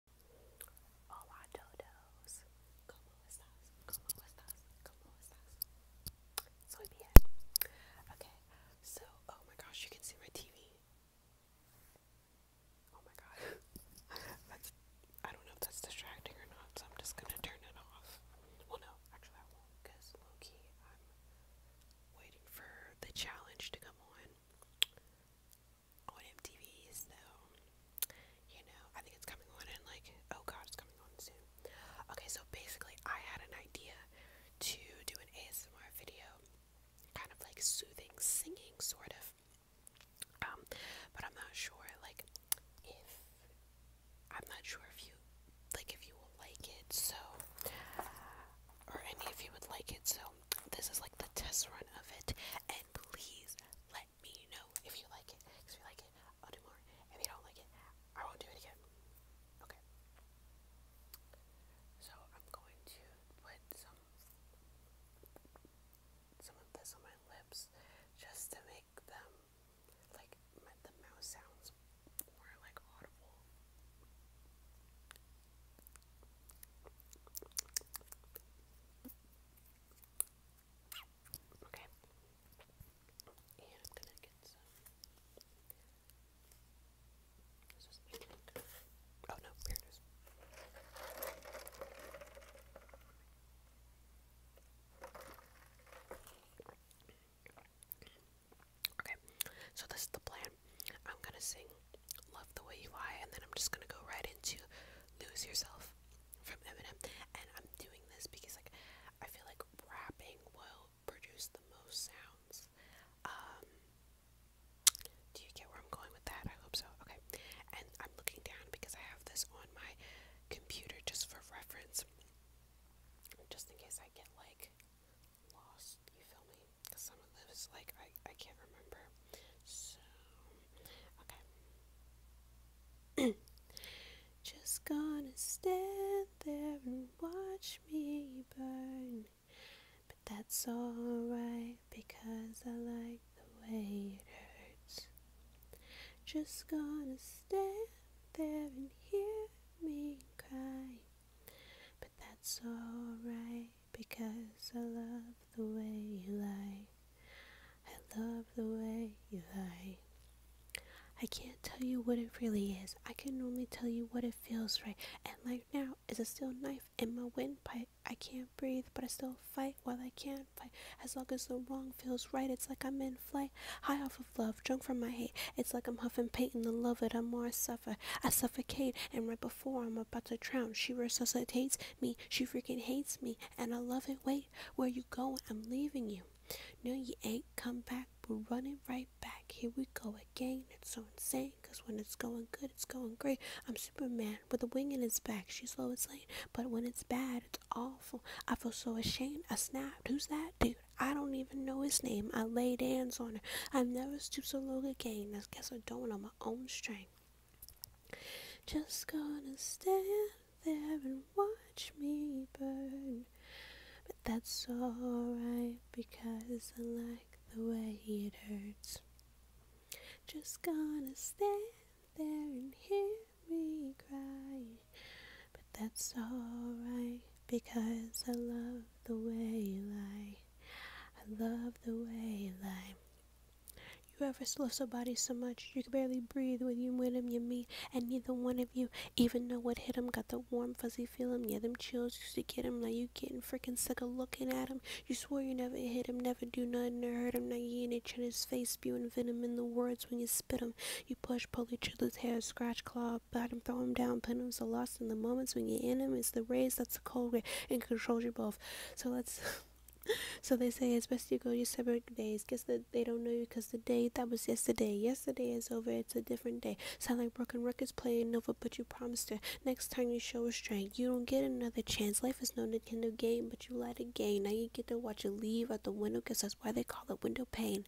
Okay. So, oh my gosh, you can see my TV. Oh my god. I don't know if that's distracting or not, so I'm just gonna turn it off. Well no, actually I won't, because I'm waiting for the challenge to come on on MTV, so you know, I think it's coming on and like oh god, it's coming on soon. Okay, so basically I had an idea to do an ASMR video, kind of like soothing singing sort of. Um, but I'm not sure like if I'm not sure if you like if you will like it, so or any of you would like it, so this is like the test run of it, please let me know if you like it. Because if you like it, I'll do more. If you don't like it, I won't do it again. Okay. So I'm going to put some some of this on my lips just to make them like the mouse sounds more like audible. Okay. And I'm Oh no, here Okay, so this is the plan. I'm gonna sing Love the way you lie, and then I'm just gonna go right into Lose Yourself from Eminem. And I'm doing this because like I feel like rapping will produce the most sounds. Um, do you get where I'm going with that? I hope so. Okay. And I'm looking down because I have this on my computer just for reference. Just in case I get like lost, you feel me? Cause some of this, like, I I can't remember. So, okay. Just gonna stand there and watch me burn, but that's alright because I like the way it hurts. Just gonna stand there and hear me cry, but that's alright because I love the way you lie. I love the way you lie. I can't tell you what it really is. I can only tell you what it feels right. And like now is a steel knife in my windpipe. I can't breathe, but I still fight while I can not fight. As long as the wrong feels right, it's like I'm in flight. High off of love, drunk from my hate. It's like I'm huffing paint and the love that I'm more I suffer. I suffocate, and right before I'm about to drown. She resuscitates me. She freaking hates me. And I love it. Wait, where you going? I'm leaving you. No, you ain't come back. We're running right back. Here we go again. It's so insane. Cause when it's going good, it's going great. I'm Superman with a wing in his back. She's slow as lane. But when it's bad, it's awful. I feel so ashamed. I snapped. Who's that dude? I don't even know his name. I laid hands on her. I've never stooped so low again. I guess I am doing on my own strength. Just gonna stand there and watch me burn. But that's alright because I like the way it hurts. Just gonna stand there and hear me cry. But that's alright because I love the way you lie. I love the way you lie. You ever love somebody so much you can barely breathe when you win 'em, you meet, and neither one of you even know what hit 'em. Got the warm, fuzzy feeling? yeah, them chills used to get 'em. like you getting freaking sick of looking at 'em. You swore you never hit 'em, never do nothing to hurt 'em. Now you in it in his face, spewing venom in the words when you spit 'em. You push, pull each other's hair, scratch, claw, bite 'em, throw 'em down, pin 'em. So lost in the moments when you in 'em, is the rays that's the cold way and controls you both. So let's. so they say as best you go your separate days. Guess that they don't know you because the day that was yesterday. Yesterday is over. It's a different day. Sound like broken records playing over, but you promised her. Next time you show restraint, you don't get another chance. Life is no Nintendo game, but you let it gain. Now you get to watch it leave out the window. Guess that's why they call it window pane.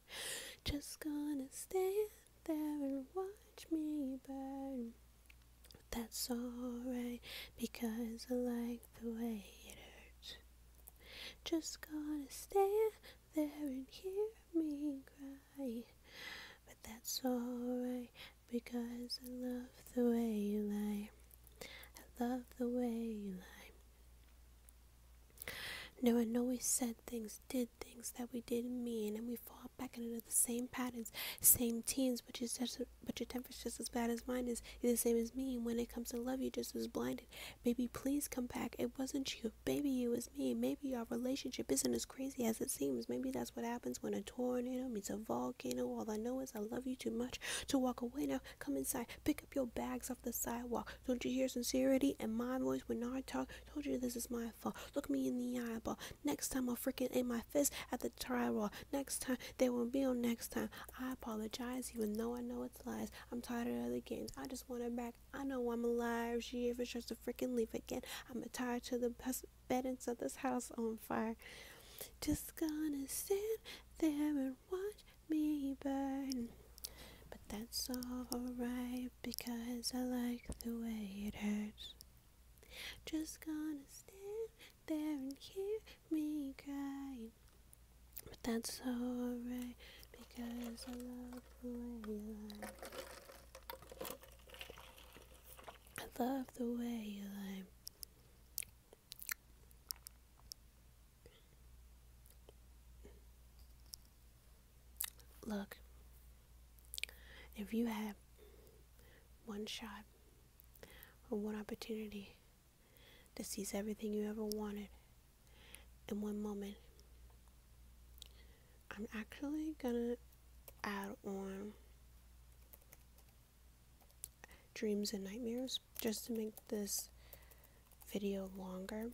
Just gonna stand there and watch me burn. That's alright because I like the way it hurts. Just gonna stand there and hear me cry. But that's alright because I love the way you lie. I love the way you lie. No, I know we said things, did things that we didn't mean, and we fought back into the same patterns, same teens, but you just but your temper's just as bad as mine is. You're the same as me, and when it comes to love, you're just as blinded. Baby, please come back. It wasn't you. Baby, it was me. Maybe our relationship isn't as crazy as it seems. Maybe that's what happens when a tornado meets a volcano. All I know is I love you too much to walk away now. Come inside. Pick up your bags off the sidewalk. Don't you hear sincerity and my voice when I talk? Told you this is my fault. Look me in the eyeball. Next time I'll freaking aim my fist at the. Try drywall. Next time, they will be on next time. I apologize, even though I know it's lies. I'm tired of the games. I just want her back. I know I'm alive. She ever tries to freaking leave again. I'm tired to the best bed and set this house on fire. Just gonna stand there and watch me burn. But that's alright because I like the way it hurts. Just gonna stand there and hear me cry. But that's alright because I love the way you lie. I love the way you lie. Look, if you have one shot or one opportunity to seize everything you ever wanted in one moment. I'm actually gonna add on dreams and nightmares just to make this video longer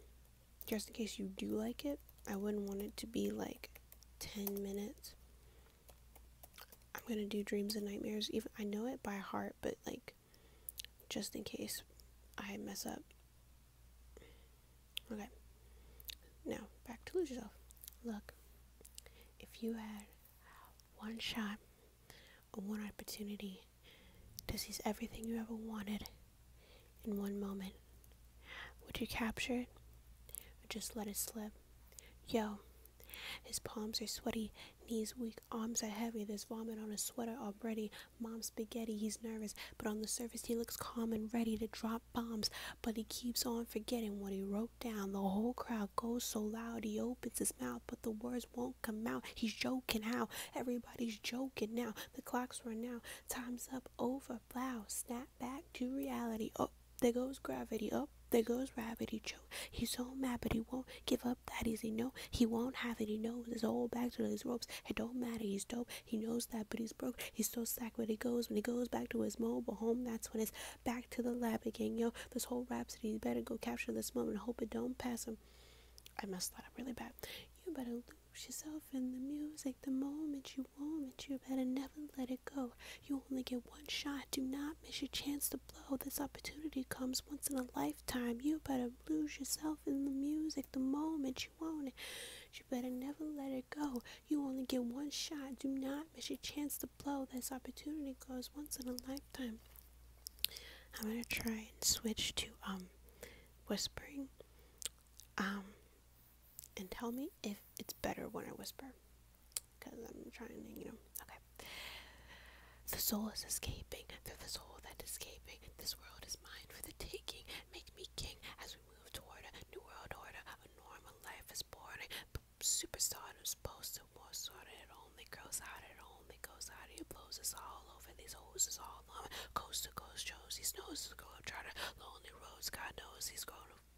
just in case you do like it I wouldn't want it to be like 10 minutes I'm gonna do dreams and nightmares. Even I know it by heart, but like, just in case I mess up. Okay. Now back to lose yourself. Look, if you had one shot, a one opportunity to seize everything you ever wanted in one moment, would you capture it? Or just let it slip? Yo. His palms are sweaty, knees weak, arms are heavy. There's vomit on his sweater already. Mom, spaghetti, he's nervous, but on the surface he looks calm and ready to drop bombs. But he keeps on forgetting what he wrote down. The whole crowd goes so loud, he opens his mouth, but the words won't come out. He's joking now. Everybody's joking now. The clocks run out. Time's up, over, blow, snap back to reality. Up oh, there goes gravity. Up oh, there goes gravity. Joe. He's so mad, but he won't give up that easy. No, he won't have it. He knows his old back to his ropes. It don't matter. He's dope. He knows that, but he's broke. He's so sack when he goes. When he goes back to his mobile home, that's when it's back to the lab again. Yo, this whole rhapsody, you better go capture this moment. Hope it don't pass him. I messed that up really bad. You better lose yourself in the music the moment you moment. You better never let it go. You only get one shot. Do not miss your chance to blow. This opportunity comes once in a lifetime. You better lose yourself in the music the moment you own it. You better never let it go. You only get one shot. Do not miss your chance to blow. This opportunity goes once in a lifetime. I'm gonna try and switch to um whispering. Um and tell me if it's better when I whisper. Because I'm trying to, you know. Okay. The soul is escaping. Through the soul that is escaping. This world is mine for the taking. Make me king as we move toward a new world order. A normal life is boring. But superstardom's posted more sorted. It only grows out. It only goes out. It blows us all over. These hoses all on. Coast to coast shows. He snows. Globetrotter. Lonely roads. God knows he's grown.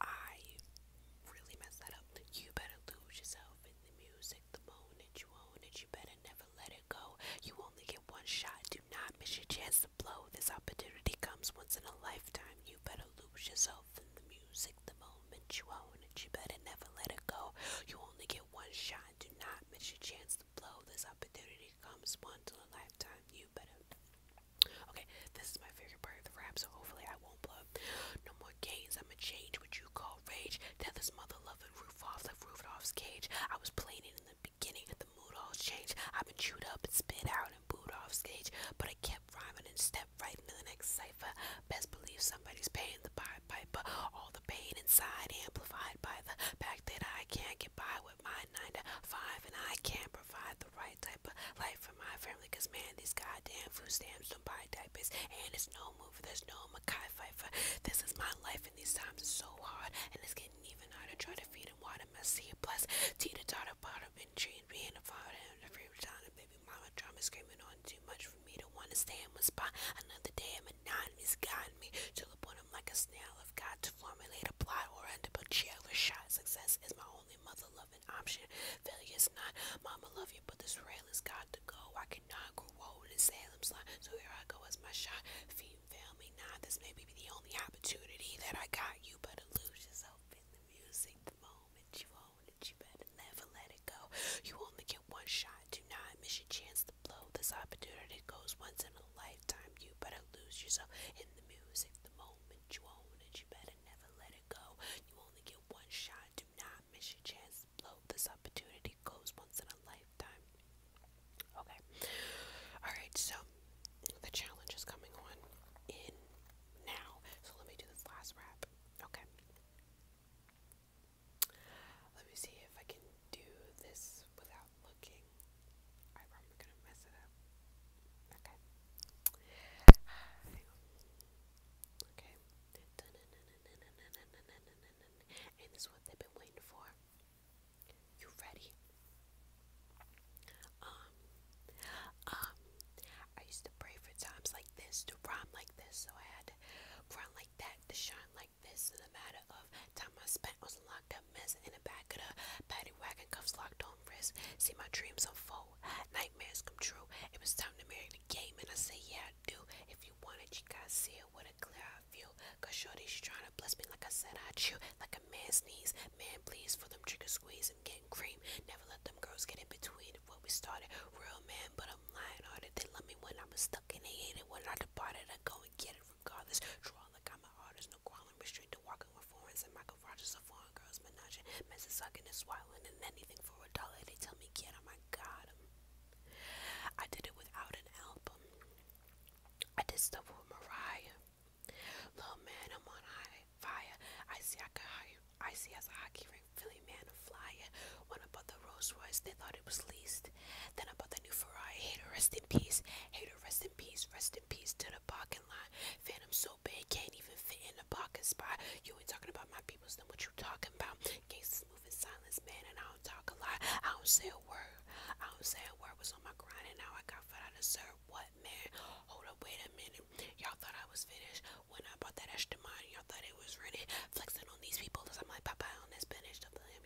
I really messed that up. You better lose yourself in the music the moment you own it. You better never let it go. You only get one shot. Do not miss your chance to blow. This opportunity comes once in a lifetime. You better lose yourself in the music the moment you own it. You better never let it go. You only get one shot. Do not miss your chance to blow. This opportunity comes once in a lifetime. You better. Okay, this is my favorite part of the rap, so hopefully I I won't blow. No more games, I'ma change what you call rage. Tether's mother love and loving Rudolph like off cage. I was playing in the beginning, the mood all changed. I've been chewed up and spit out and booed off stage, but I kept rhyming and stepped right into the next cipher. Best believe somebody's paying the Pied but All the pain inside amplified by the fact that I can't get by with my nine to five and I can't provide the the right type of life for my family. Cause man, these goddamn food stamps don't buy diapers, and it's no movie. There's no Mackay Pfeiffer. This is my life, and these times are so hard, and it's getting even harder. Try to feed and water my seed. Plus, Tita taught about him and treat being a father and a favorite child and baby mama drama screaming on too much for me to want to stay in one spot. Another day, I'm anonymous, got me to the point I'm like a snail. I've got to formulate a plot or end up a jail or shot. Success is my own only mother an option. Failure is not mama love you, but this rail is got to go. I cannot grow old in Salem's so here I go as my shot. Feet fail me not. This may be the only opportunity that I got. You better lose yourself in the music the moment you own it. You better never let it go. You only get one shot. Do not miss your chance to blow. This opportunity goes once in a lifetime. You better lose yourself in the music the moment you own it. You better. Okay. Alright, so the challenge is coming on in now. So let me do this last rap. Okay. Let me see if I can do this without looking. I'm probably gonna mess it up. Okay. Okay. And this is what they've been waiting for. You ready? Um, um, I used to pray for times like this, to rhyme like this, so I had to rhyme like that, to shine like this, in a matter of time I spent was a locked mess in the back of the paddy wagon, cuffs locked on See, my dreams unfold. Nightmares come true. It was time to marry the game, and I say, yeah, I do. If you want it, you gotta see it with a clear eye view. Cause shorty, she trying to bless me like I said I chew. Like a man's knees. Man, please, for them trigger squeeze, I'm getting cream. Never let them girls get in between of what we started. Real man, but I'm lying hearted. They love me when I was stuck, in they hate it when I departed. I go and get it regardless. Draw like I'm an artist, no quarreling, restraint to walking with foreigns and Michael Rogers foreign girl's menage, Mrs. Sucking is and anything for a dollar. They tell me get oh my god. I did it without an album. I did stuff with Mariah. Little man, I'm on high fire. I see I could hire I see as a hockey ring Philly man a flyer. When I bought the Rolls Royce, they thought it was leased. Then I bought the new Ferrari. Hater, rest in peace. Hater, rest in peace. Rest in peace to the parking lot. Phantom so big, can't even fit in parking spot. You ain't talking about my peoples, what you talking about? Cases move in silence, man, and I don't talk a lot. I don't say a word. I don't say a word was on my grind, and now I got what I deserve. What, man? Hold up, wait a minute. Y'all thought I was finished when I bought that extra Y'all thought it was ready. Flexing on these people, i I'm like Papa on this bench.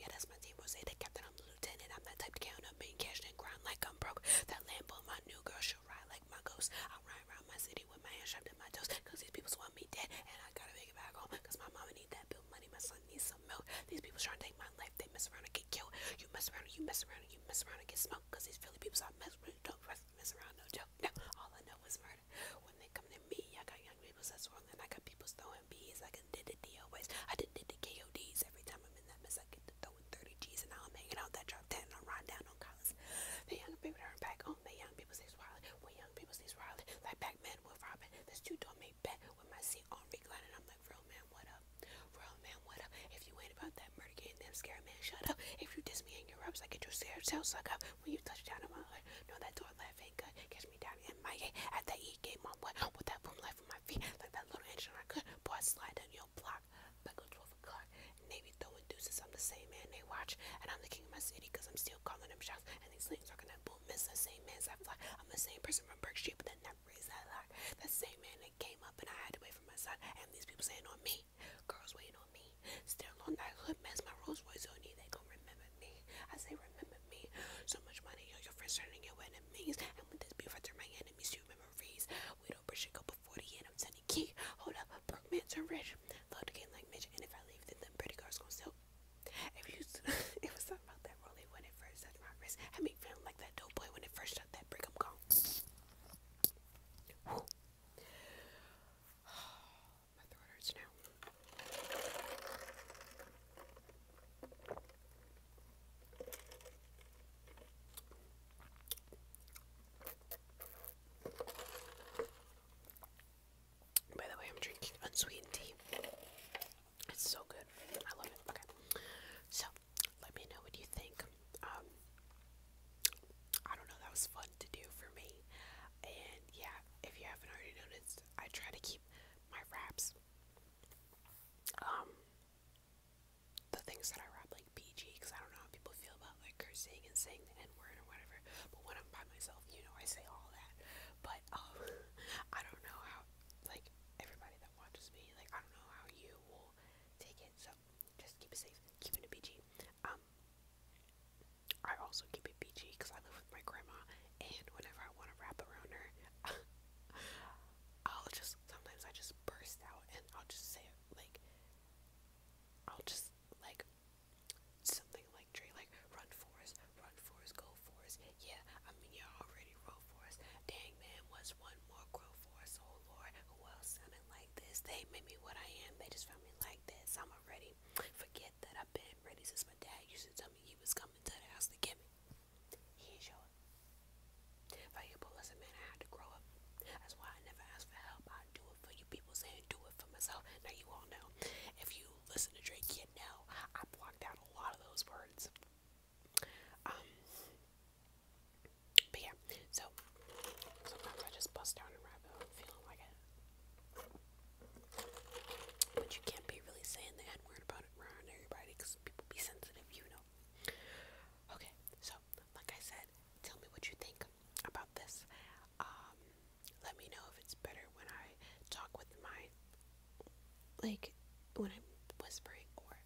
Yeah, that's my team. Rose, the captain, I'm lieutenant. I'm that type to count up, being cashed and grind like I'm broke. That Lambo, my new girl, shall ride like my ghost. I'll ride around my city with my hands strapped to my toes. Cause these people want me dead. And I gotta make it back home. Cause my mama need that bill money. My son needs some milk. These people trying to take my life. They mess around and get killed. You mess around and you mess around and you mess around and get smoked. Cause these Philly people I mess with. Don't mess around, no joke. No, all I know is murder. When they come to me, I got young people that's wrong. And I got people throwing bees. I can did the DOAs. I did, did the KODs. Every time I'm in that mess, I get the throw with 30 G's and I'm hanging out that drop 10 I'm riding down on Collins. The young people turn back on the young people stays wild. When young people stays wild, like Pac-Man with Robin. This dude don't make bet with my seat on recline and I'm like, real man, what up? Real man, what up? If you ain't about that murder game, them scary man, shut up. If you diss me and your rubs, I get your scared tail suck up. When you touch down on my heart, know that door laugh ain't good. Catch me down in my gate at that E game, my what? With that boom life on my feet, like that little engine I could. Boy, I slide down your block back on 12 o'clock, and throwing deuces. I'm the same man they watch, and I'm the king of my city because I'm still calling them shots. And these are gonna bull miss the same man I fly. I'm the same person from Berk Street, but that never raised that lot. That same man that came up and I had to wait for my son, and these people saying on me, girls waiting on me. Still on that hood mess, my Rolls Royce on you, they gon' remember me. I say remember me. So much money on your friends turning your enemies, and with this beef I my enemies to memories. We don't push a couple before the I'm sending key. Hold up, Brookman turn rich. Love the game like Mitch, and if I leave, then the pretty girl's going sell. If you, it was something about that rolling when it first touched my wrist. I mean, feeling like that dope boy when it first shot that brick. I'm gone. my throat hurts now. By the way, I'm drinking unsweetened tea. It's so good. I love it. Okay. So, let me know what you think. Um, I don't know, that was fun to do for me. And yeah, if you haven't already noticed, I try to keep my wraps um the things that I rap like PG because I don't know how people feel about like cursing and saying the N word or whatever. But when I'm by myself, you know, I say all that. But um, I don't know how like everybody that watches me, like I don't know how you will take it. So just keep it safe, keep it a PG. Um, I also keep it PG because I live with my grandma, and whenever I want to wrap around her. I'll just sometimes I just burst out and I'll just say like I'll just like something like Dre, like run for us, run for us, go for us. Yeah, I mean you already wrote for us. Dang man, what's one more grow for us? Oh Lord, who else sounded like this? They made me what I am. They just found me like this. I'm already forget that I've been ready since my dad used to tell me he was coming to the house to get me. He showed. Valuable as a man, I had to grow up. That's why I never ask for help. I do it for you people saying do it for myself. Now you all know. If you listen to Drake, you know I blocked out a lot of those words. Um But yeah, so sometimes I just bust down a rabbit hole feeling like it. But you can't be really saying the N-word about it around everybody because people be sensitive, you know. Okay, so like I said, tell me what you think about this. Um, let me know if it's better when I talk with my, like, when I'm whispering or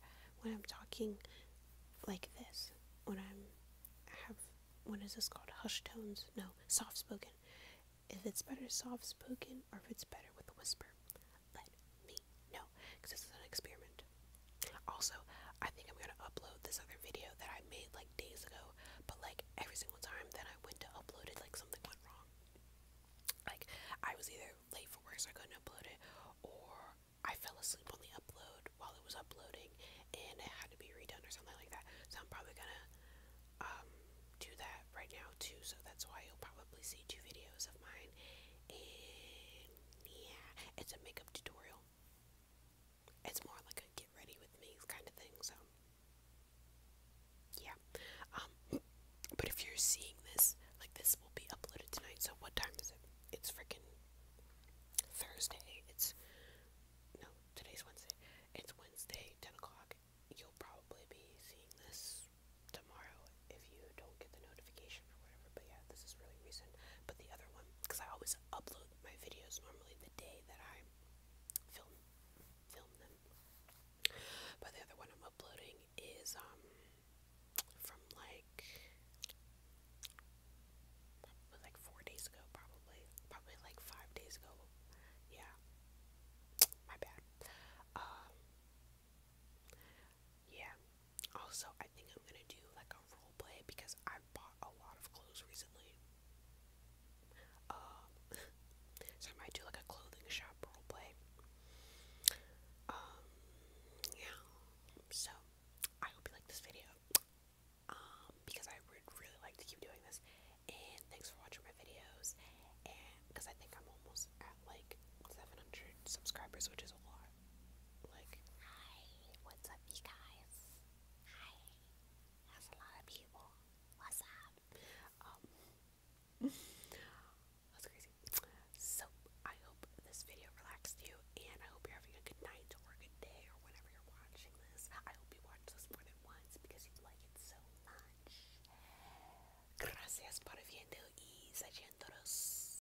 when I'm talking like this. When I'm have, what is this called? Hush tones? No, soft spoken. If it's better soft spoken or if it's better with a whisper, let me no, because this is an experiment. Also, I think I'm gonna upload this other video that I made like days ago, but like every single time that I went to upload it, like something went wrong. Like I was either late for work so I couldn't upload it, or I fell asleep on the upload while it was uploading and it had to be redone or something like that. So I'm probably gonna um do that right now too, so that's why you'll probably see two videos of mine. And yeah, it's a makeup tutorial it's more like a get ready with me kind of thing, so yeah. Um, but if you're seeing this, like this will be uploaded tonight, so what time is it? It's freaking Thursday. It's no, today's Wednesday. It's Wednesday, ten o'clock. You'll probably be seeing this tomorrow if you don't get the notification. But yeah, this is really recent. But the other one, because I always upload my videos normally the day that I film film them. But the other one I'm uploading is um from like like four days ago, probably probably like five days ago. Yeah, my bad. Um, yeah. Also, I think I'm gonna do like a role because I bought a lot of clothes recently. Um, so I might do like a clothing shop role um, yeah. So I hope you like this video. Um, because I would really like to keep doing this. And thanks for watching my videos. And because I think I'm almost at like 700 subscribers, which is a lot. Like, hi, what's up, you guys? Hi, that's a lot of people. What's up? Um, that's crazy. So, I hope this video relaxed you, and I hope you're having a good night or a good day or whenever you're watching this. I hope you watch this more than once because you like it so much. Gracias por viendo y sayéndonos.